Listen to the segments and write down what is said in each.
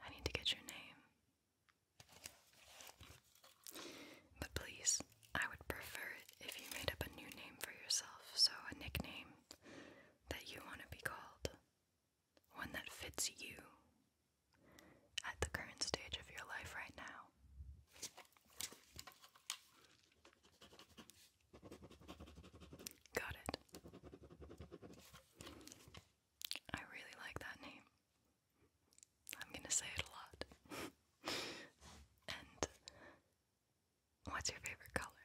I need to get your name. But please, I would prefer if you made up a new name for yourself, so a nickname that you want to be called. One that fits you at the current stage of your life right now. Got it. I really like that name. I'm gonna say it a lot. and what's your favorite color?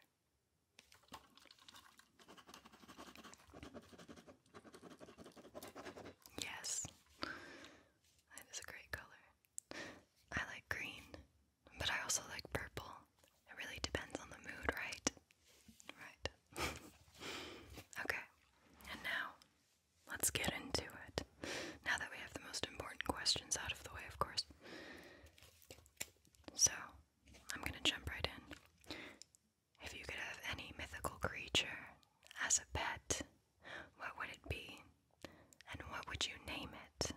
Yes, that is a great color. I like green, but I also like purple. It really depends on the mood, right? Right. okay, and now let's get into it. Now that we have the most important questions out of the way, of course. So, I'm gonna jump right in. If you could have any mythical creature as a pet, what would it be? And what would you name it?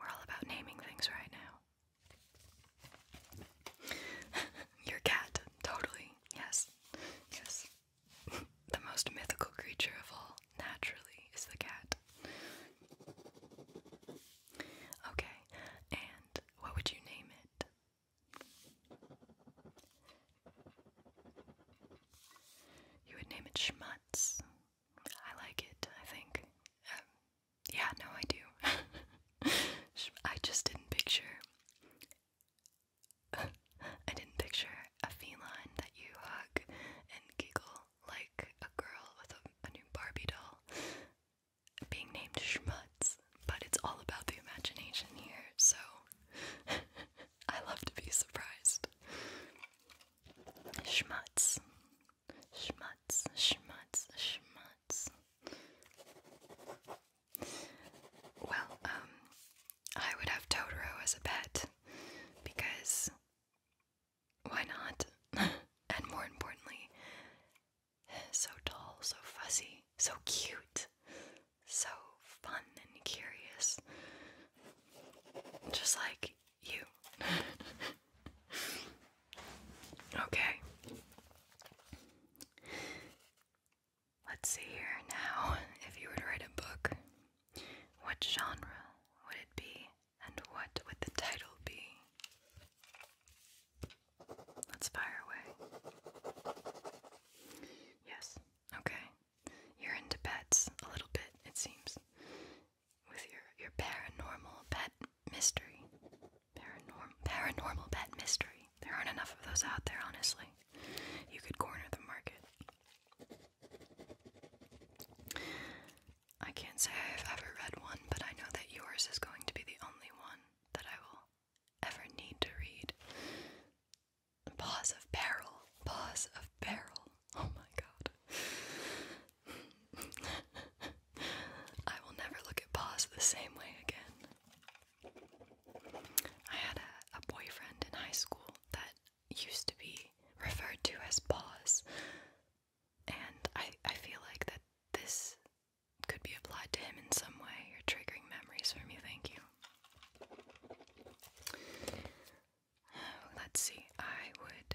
We're all about naming things right now. Your cat, totally. Yes. Yes. the most mythical creature of all, naturally, is the cat. Okay, and what would you name it? You would name it Schmutz. I like it, I think. Um, yeah, no, I do. I just didn't picture. I didn't picture a feline that you hug and giggle like a girl with a, a new Barbie doll being named Schmutz, but it's all about the imagination here, so I love to be surprised. Schmutz, schmutz, schmutz, schmutz. Well, um, I would have Totoro as a pet because why not? and more importantly, so tall, so fuzzy, so cute, so fun and curious. Just like you. okay. Let's see here now. If you were to write a book, what genre would it be and what would the title be? Let's fire away. Yes, okay. You're into pets a little bit, it seems. With your your paranormal pet mystery. Paranorm paranormal pet mystery. There aren't enough of those out there, honestly. You could corner the market. I can't say I've ever read one, but I know that yours is going to be the only one that I will ever need to read. Pause of peril. Pause of peril. Oh my god. I will never look at paws the same way again. I had a, boyfriend in high school that used to be referred to as paws, and I, I feel like that this could be applied to him in some way. You're triggering memories for me, thank you. Let's see, I would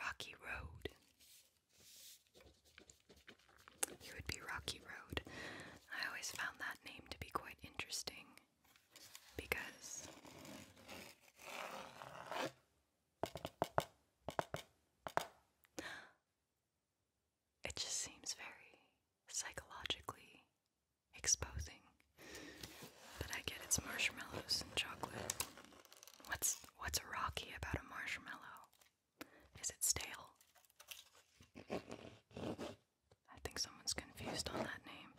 Rocky Road. It would be Rocky Road. I always found that name to be quite interesting because it just seems very psychologically exposing. But I get it's marshmallows and chocolate. What's what's rocky about a marshmallow? Is it stale? I think someone's confused on that name.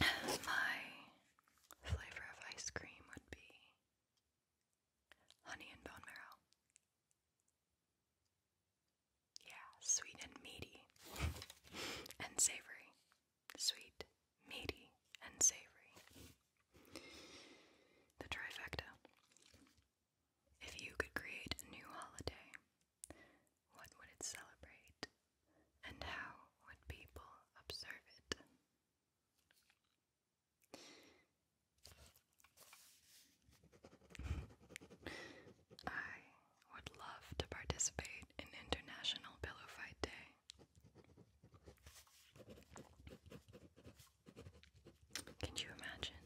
My flavor of ice cream would be honey and bone marrow. Yeah, sweet and meaty and savory. Sweet, meaty, and savory. The trifecta. If you could create a new holiday, what would it celebrate? And how would people observe it? I would love to participate in International Pillow Fight Day. Can you imagine?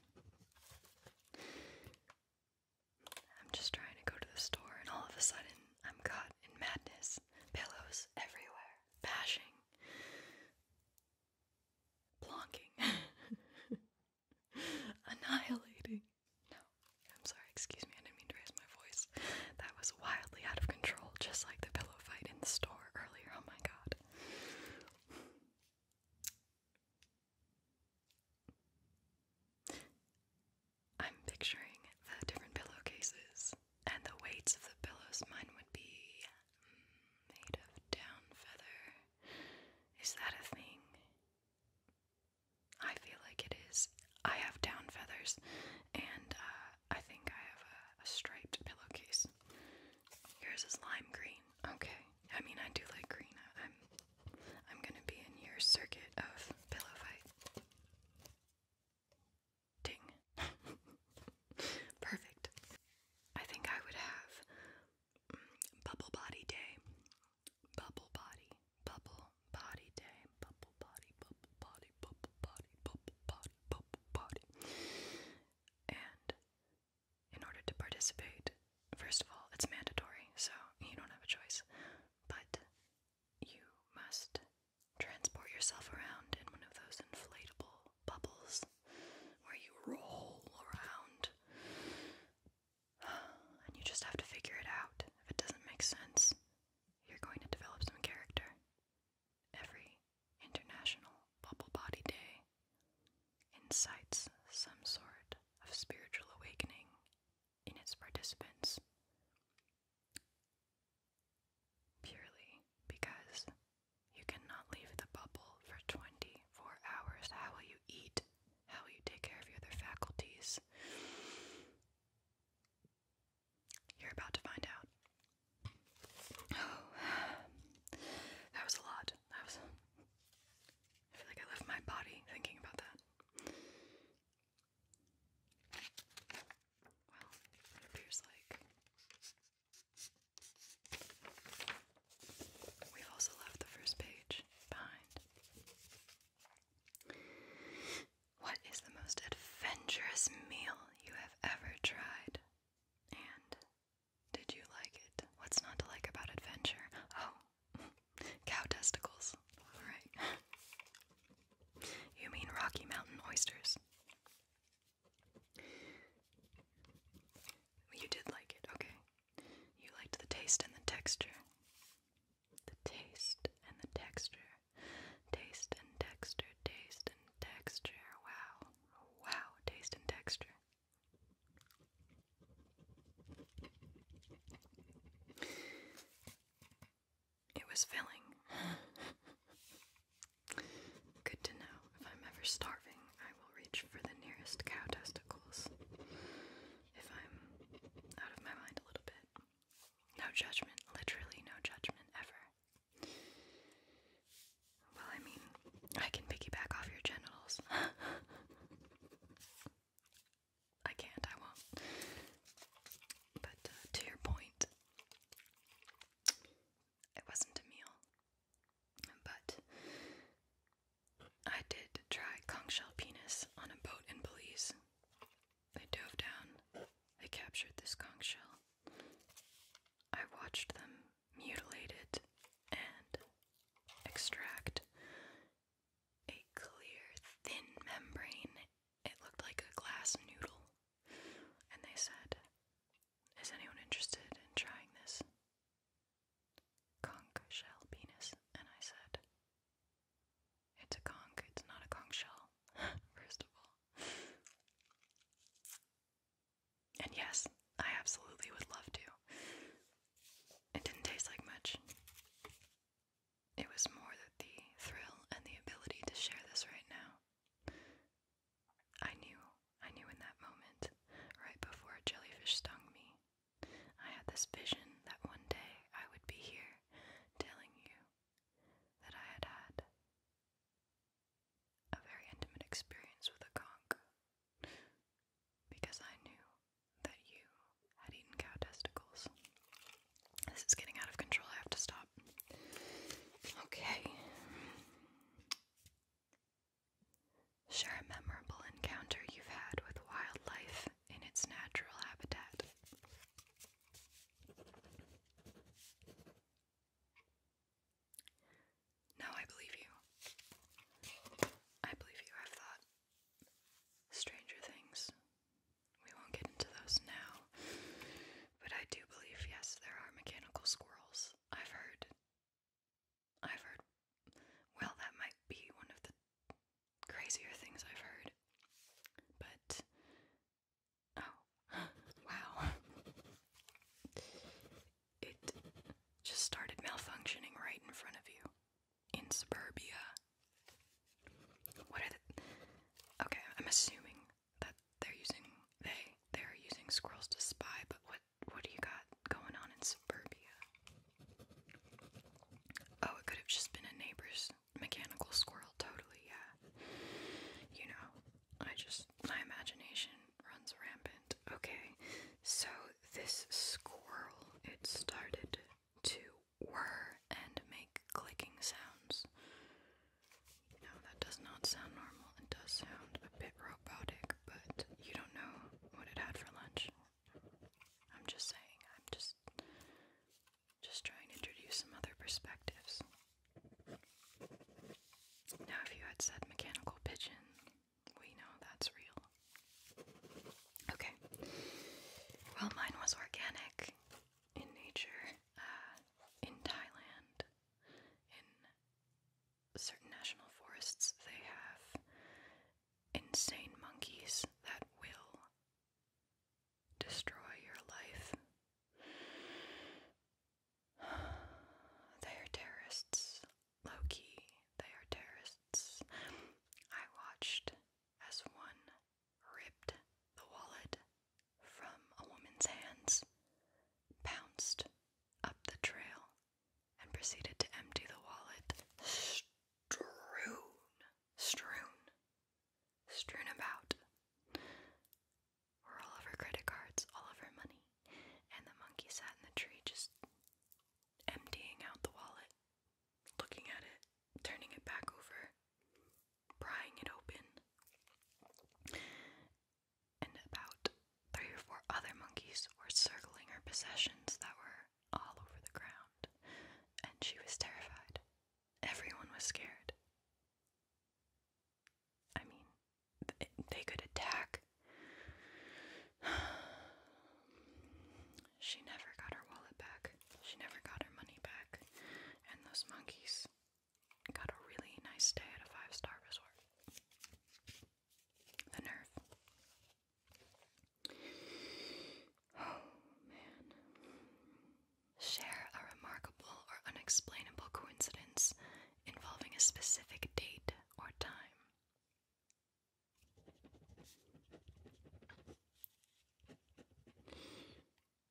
I'm just trying to go to the store, and all of a sudden, I'm caught in madness. Pillows everywhere, bashing, plonking. Annihilating. No, I'm sorry, excuse me, I didn't mean to raise my voice. That was wildly out of control, just like the pillow fight in the store earlier. Oh my god. I'm picturing the different pillowcases and the weights of the pillows. Mine would be mm, made of down feather. Is that a thing? I feel like it is. I have down feathers, and uh, I think I have a, striped pillowcase. Yours is lime green. Okay. I mean, I do like green. I'm, I'm gonna be in your circuit of pillow fight. Ding. Perfect. I think I would have mm, Bubble Body Day Bubble Body, Bubble Body Day, Bubble Body, Bubble Body, Bubble Body, Bubble Body, Bubble Body. And in order to participate, first of all, it's mandatory, so you don't have a choice. But you must transport yourself around in one of those inflatable bubbles where you roll around and you just have to figure it out. If it doesn't make sense, you're going to develop some character. Every International Bubble Body Day incites some sort of spiritual awakening in its participants. Purely because you cannot leave the bubble for 24 hours. How will you eat? How will you take care of your other faculties? You're about to find out. that was a lot. That was. I feel like I left my body thinking about that. Well, it appears like We've also left the first page behind. What is the most adventurous meal you have ever tried? And did you like it? What's not to like about adventure? Oh, cow testicles. Alright. You mean Rocky Mountain oysters? You did like it, okay. You liked the taste and the texture. The taste and the texture. Taste and texture. Taste and texture. Wow. Wow. Taste and texture. It was filling. Good to know. If I'm ever starving, I will reach for the nearest cow testicles if I'm out of my mind a little bit. No judgment, literally no judgment ever. Well, I mean, I can piggyback off your genitals. I can't, I won't. But uh, to your point, it wasn't a meal, but I did try conch shell penis on a boat in Belize. They dove down. They captured this conch shell. I watched them mutilate it and extract a clear, thin membrane. It looked like a glass noodle. And they said, Is anyone interested in trying this? conch shell penis, and I said, It's a conch, it's not a conch shell, first of all. and yes, I absolutely would love to. It didn't taste like much. It was more that the thrill and the ability to share this right now. I knew, I knew in that moment, right before a jellyfish stung me, I had this vision that one day I would be here telling you that I had had a very intimate experience with a conch because I knew that you had eaten cow testicles. This is getting out of control, I have to stop. Okay. Share a memorable encounter you've had with wildlife in its natural habitat. No, I believe you. I believe you. I've thought stranger things. We won't get into those now. But I do believe, yes, there are mechanical squirrels. I've heard I've heard, well, that might be one of the crazier things I've heard. But, oh, wow. It just started malfunctioning right in front of you in suburbia. What Okay, I'm assuming that they're using. They. They're using squirrels to spy, but what what do you got going on in suburbia? Oh, it could have just been a neighbor's mechanical squirrel, totally, yeah. You know, I just my imagination runs rampant. Okay. So this squirrel, it started to whir and make clicking sounds. No, that does not sound normal. It does sound a bit robotic, but you don't know what it had for lunch. I'm just saying, I'm just just trying to introduce some other perspectives. Now if you had said mechanical pigeon, we know that's real. Okay. Well, mine was organic in nature, uh, in Thailand, in certain national forests, they have insane monkeys that will destroy your life. They are terrorists. Low key, they are terrorists. I watched as one ripped the wallet from a woman's hands, pounced up the trail, and proceeded to empty the wallet strewn, strewn, strewn about were all of her credit cards, all of her money, and the monkey sat in the tree just emptying out the wallet, looking at it, turning it back over, prying it open and about three or four other monkeys were circling her possessions that were all over the ground, and she was terrified. Everyone was scared. I mean, they could attack. she never got her wallet back, she never got her money back, and those monkeys got a really nice stay at a five star resort. The nerve. Oh, man. Share a remarkable or unexplainable coincidence involving a specific date or time.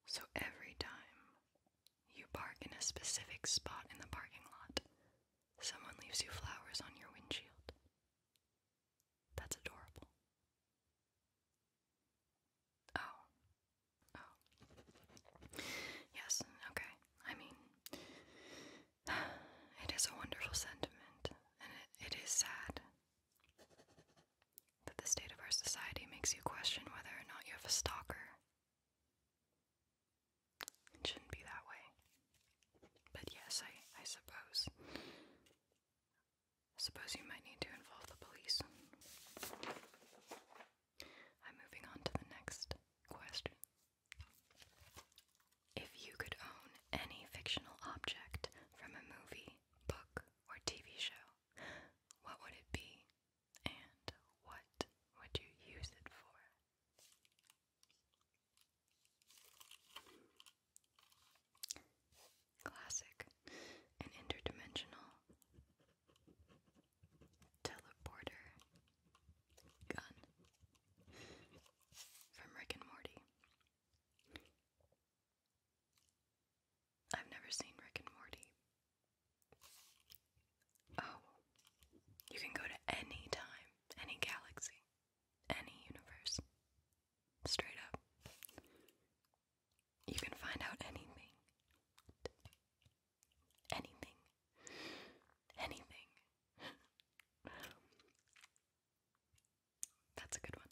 So every time you park in a specific spot in the parking lot, Someone leaves you flowers on your windshield. That's adorable. Oh. Oh. Yes, okay. I mean, it is a wonderful sentiment, and it is sad that the state of our society makes you question whether or not you have a stalker. It shouldn't be that way. But yes, I, I suppose. I suppose you might need to involve the police. I'm moving on to the next question. If you could own any fictional object from a movie, book, or TV show, what would it be? And what would you use it for? Classic, an interdimensional teleporter gun from Rick and Morty. I've never seen Rick and Morty. Oh, you can go to any time, any galaxy, any universe. Straight up. You can find out anything. Anything. Anything. That's a good one.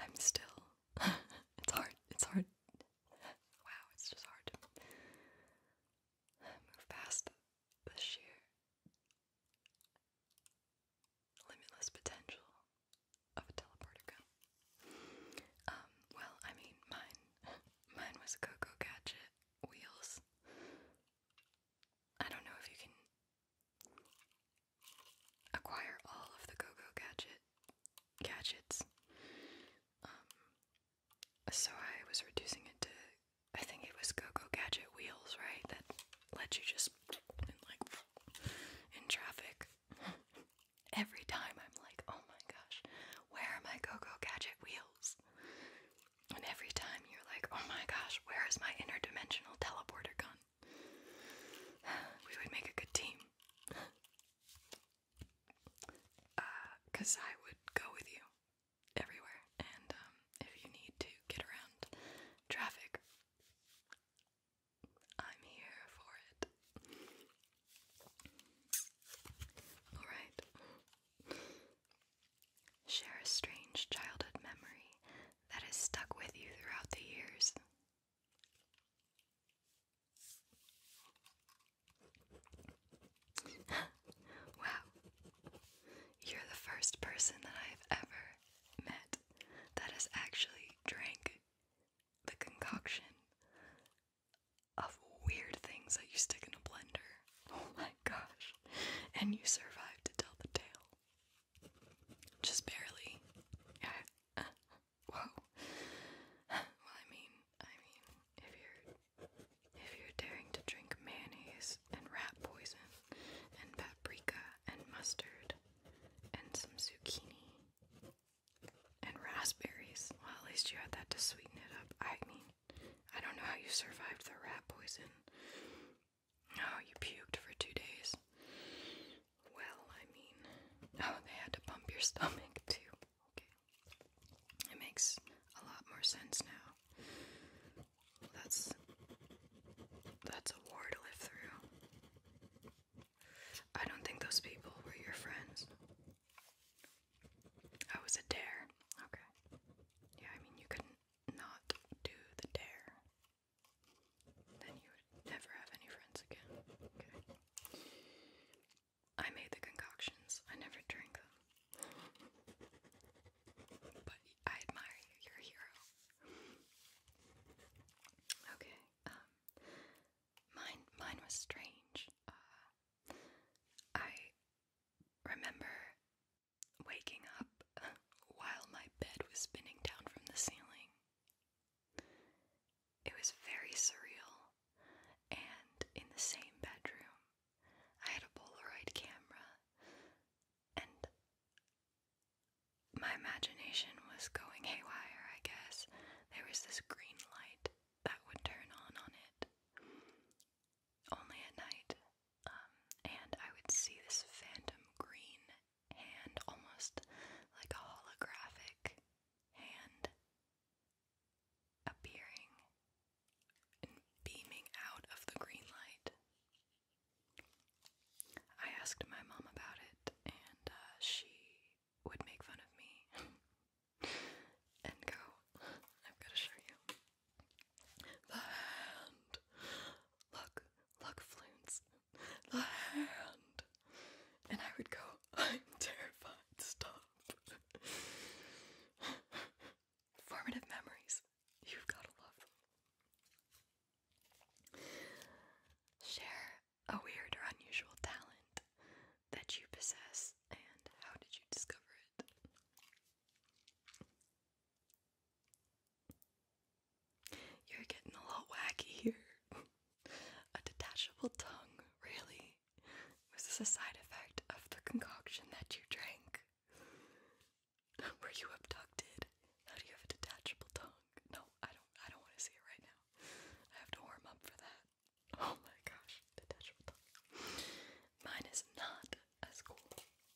I'm still. it's hard. It's hard wow, it's just hard to move past the sheer limitless potential of a teleporter Um, well, I mean, mine, mine was Coco Gadget wheels. I don't know if you can acquire all of the Coco Gadget gadgets. Um, so I was reducing it to, I think it was GoGo Gadget wheels, right? That let you just, in traffic. Every time I'm like, oh my gosh, where are my GoGo Gadget wheels? And every time you're like, oh my gosh, where is my interdimensional teleporter gun? We would make a good team because uh, I would go with you everywhere. And um, if you need to get around traffic, I'm here for it. Alright. Share a strange childhood memory that has stuck with you throughout the years. wow. You're the first person that I've ever met that has actually drank the concoction of weird things that you stick in a blender. Oh my gosh. And you survived to tell the tale. Just barely. Yeah. Whoa. well, I mean, I mean, if you're if you're daring to drink mayonnaise and rat poison and paprika and mustard and some zucchini and raspberries, well, at least you had that to sweeten it up. I mean, I don't know how you survived the rat poison. oh, you puked for two days. Well, I mean, oh, they had to pump your stomach too. Okay. It makes a lot more sense now. That's that's a war to live through. I don't think those people were your friends. Oh, I was a dare. Okay. Yeah, I mean you couldn't not do the dare. Then you would never have any friends again. Okay. I made the concoctions. I never drank them. But I admire you. You're a hero. Okay. Um, mine, mine was strange. Uh, I remember waking up while my bed was spinning down from the ceiling it was very surreal, and in the same bedroom, I had a Polaroid camera, and my imagination was going haywire, I guess. There was this green light that would turn on on it only at night, um, and I would see this phantom green hand, almost like a holographic hand appearing and beaming out of the green light. I asked my mom about it, and uh, she would make fun of me and go, I've got to show you. The hand! Look, look, flutes. The hand! and I would go, I'm terrified, stop. Formative memories, you've gotta love them. Share a weird or unusual talent that you possess, and how did you discover it? You're getting a little wacky here. a detachable tongue, really? Was this a side effect of the concoction that you drank? Were you abducted? How do you have a detachable tongue? No, I don't I don't want to see it right now. I have to warm up for that. Oh my gosh, detachable tongue. Mine is not as cool. Detachable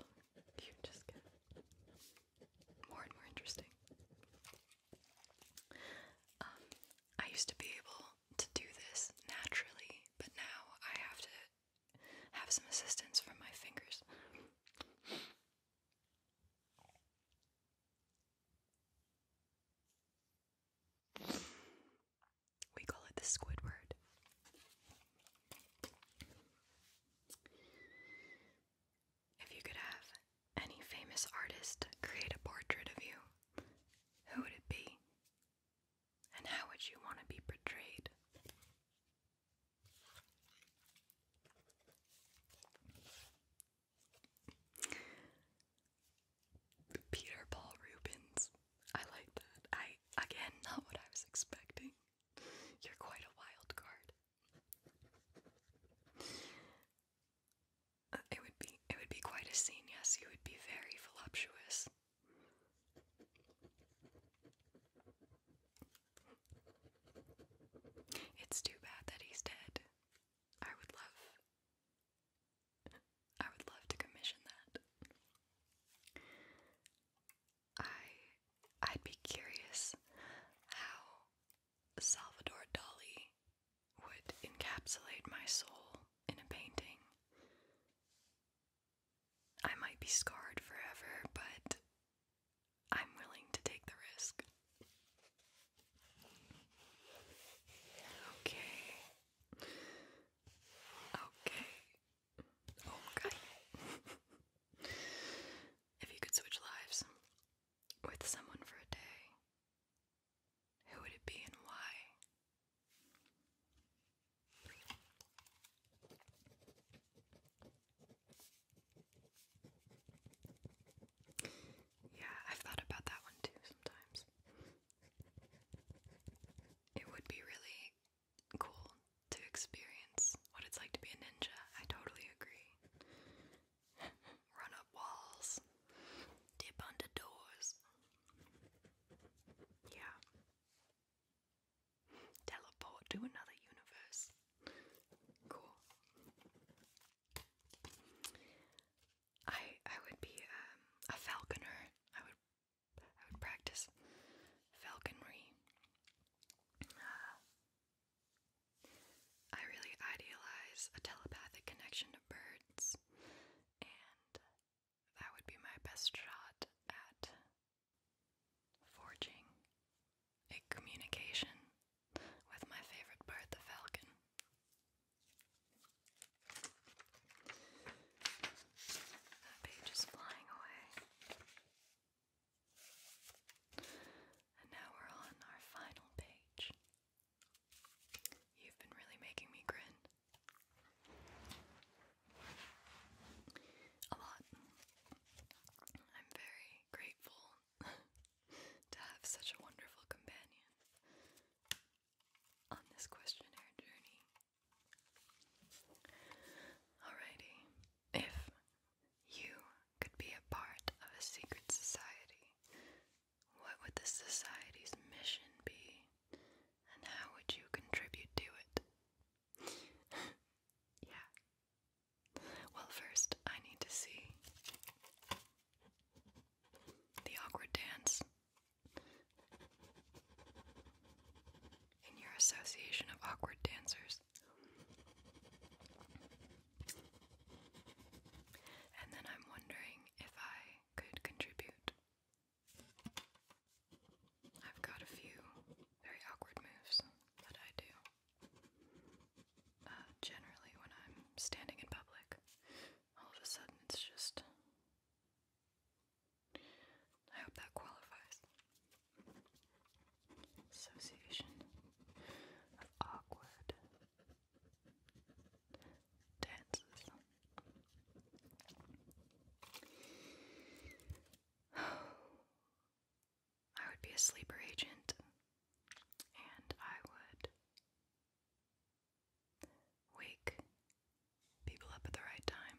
tongue. You just get more and more interesting. Um, I used to be able to do this naturally, but now I have to have some assistance from my fingers. We call it the Squidward. If you could have any famous artist create a portrait of you, who would it be? And how would you want to be portrayed? Peter Paul Rubens. I like that. I again, not what I was expecting. You're quite a wild card it would be it would be quite a scene, yes, you would be very voluptuous. It's too bad that he's dead. I would love I would love to commission that. I I'd be curious how Salvador Dali would encapsulate my soul in a painting. I might be scarred forever, but I'm willing to take the risk. Okay. Okay. Okay. Oh, If you could switch lives with someone for a day, who would it be and why? Yeah, I've thought about that one too sometimes. It would be really cool to experience what it's like to be a ninja. I totally agree. Run up walls, dip under doors. Yeah. Teleport to another universe. Cool. I I would be um, a falconer. I would I would practice falconry. Uh, I really idealize a telepathic connection to birds, and that would be my best shot at forging a communication with my favorite bird, the falcon. That page is flying away. And now we're on our final page. You've been really making me grin. A lot. I'm very grateful to have such a wonderful companion on this questionnaire journey. Alrighty, if you could be a part of a secret society. What would the society's mission be, and how would you contribute to it? yeah. Well, first, I need to see the awkward dance. In your association of awkward dancers, and then I'm wondering if I could contribute. I've got a few very awkward moves that I do. Uh, generally, when I'm standing in public, all of a sudden it's just. I hope that qualifies. Association of awkward dances. I would be a sleeper agent and I would wake people up at the right time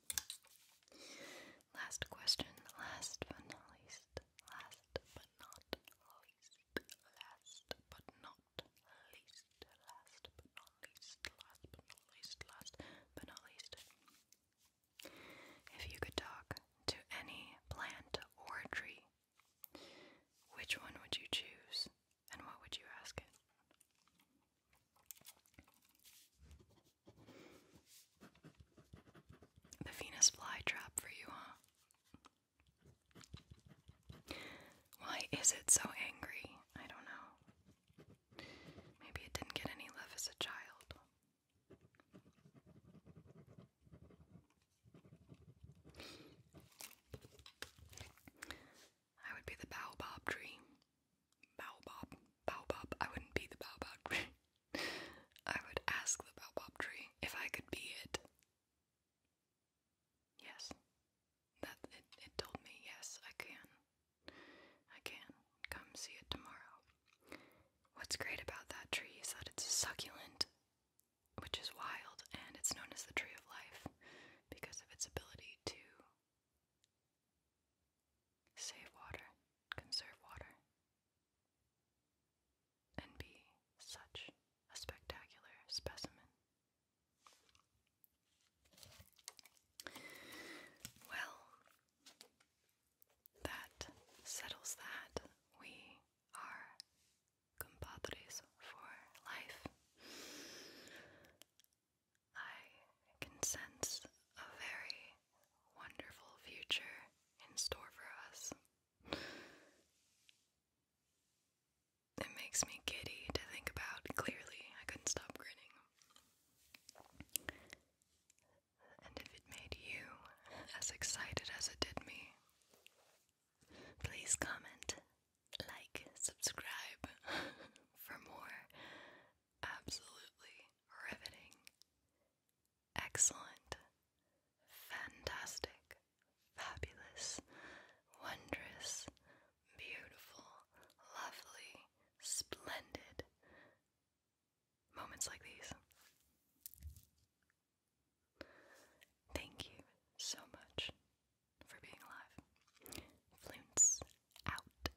Last question, last but not least, last but not least, last but not least, last but not least, last but not least, last but not least. If you could talk to any plant or tree, which one would you choose and what would you ask it? The Venus flytrap for you, huh? Why is it so angry? I don't know. Maybe it didn't get any love as a child. I would be the baobab tree baobab. Baobab. I wouldn't be the baobab tree. I would ask the baobab tree if I could be it. Yes. That it, it told me yes, I can. I can. Come see it tomorrow. What's great about that tree is that it's succulent, which is wild, and it's known as the tree of life because of its ability to Save water, conserve water, and be such a spectacular specimen. Well, that settles that. We are compadres for life. I can sense a very wonderful future in store for us. It makes me giddy to think about. Clearly, I couldn't stop grinning. And if it made you as excited as it did me, please comment, like, subscribe for more absolutely riveting, excellent, fantastic, fabulous, wondrous, beautiful, lovely, splendid moments like these. Thank you so much for being alive. Floonce out.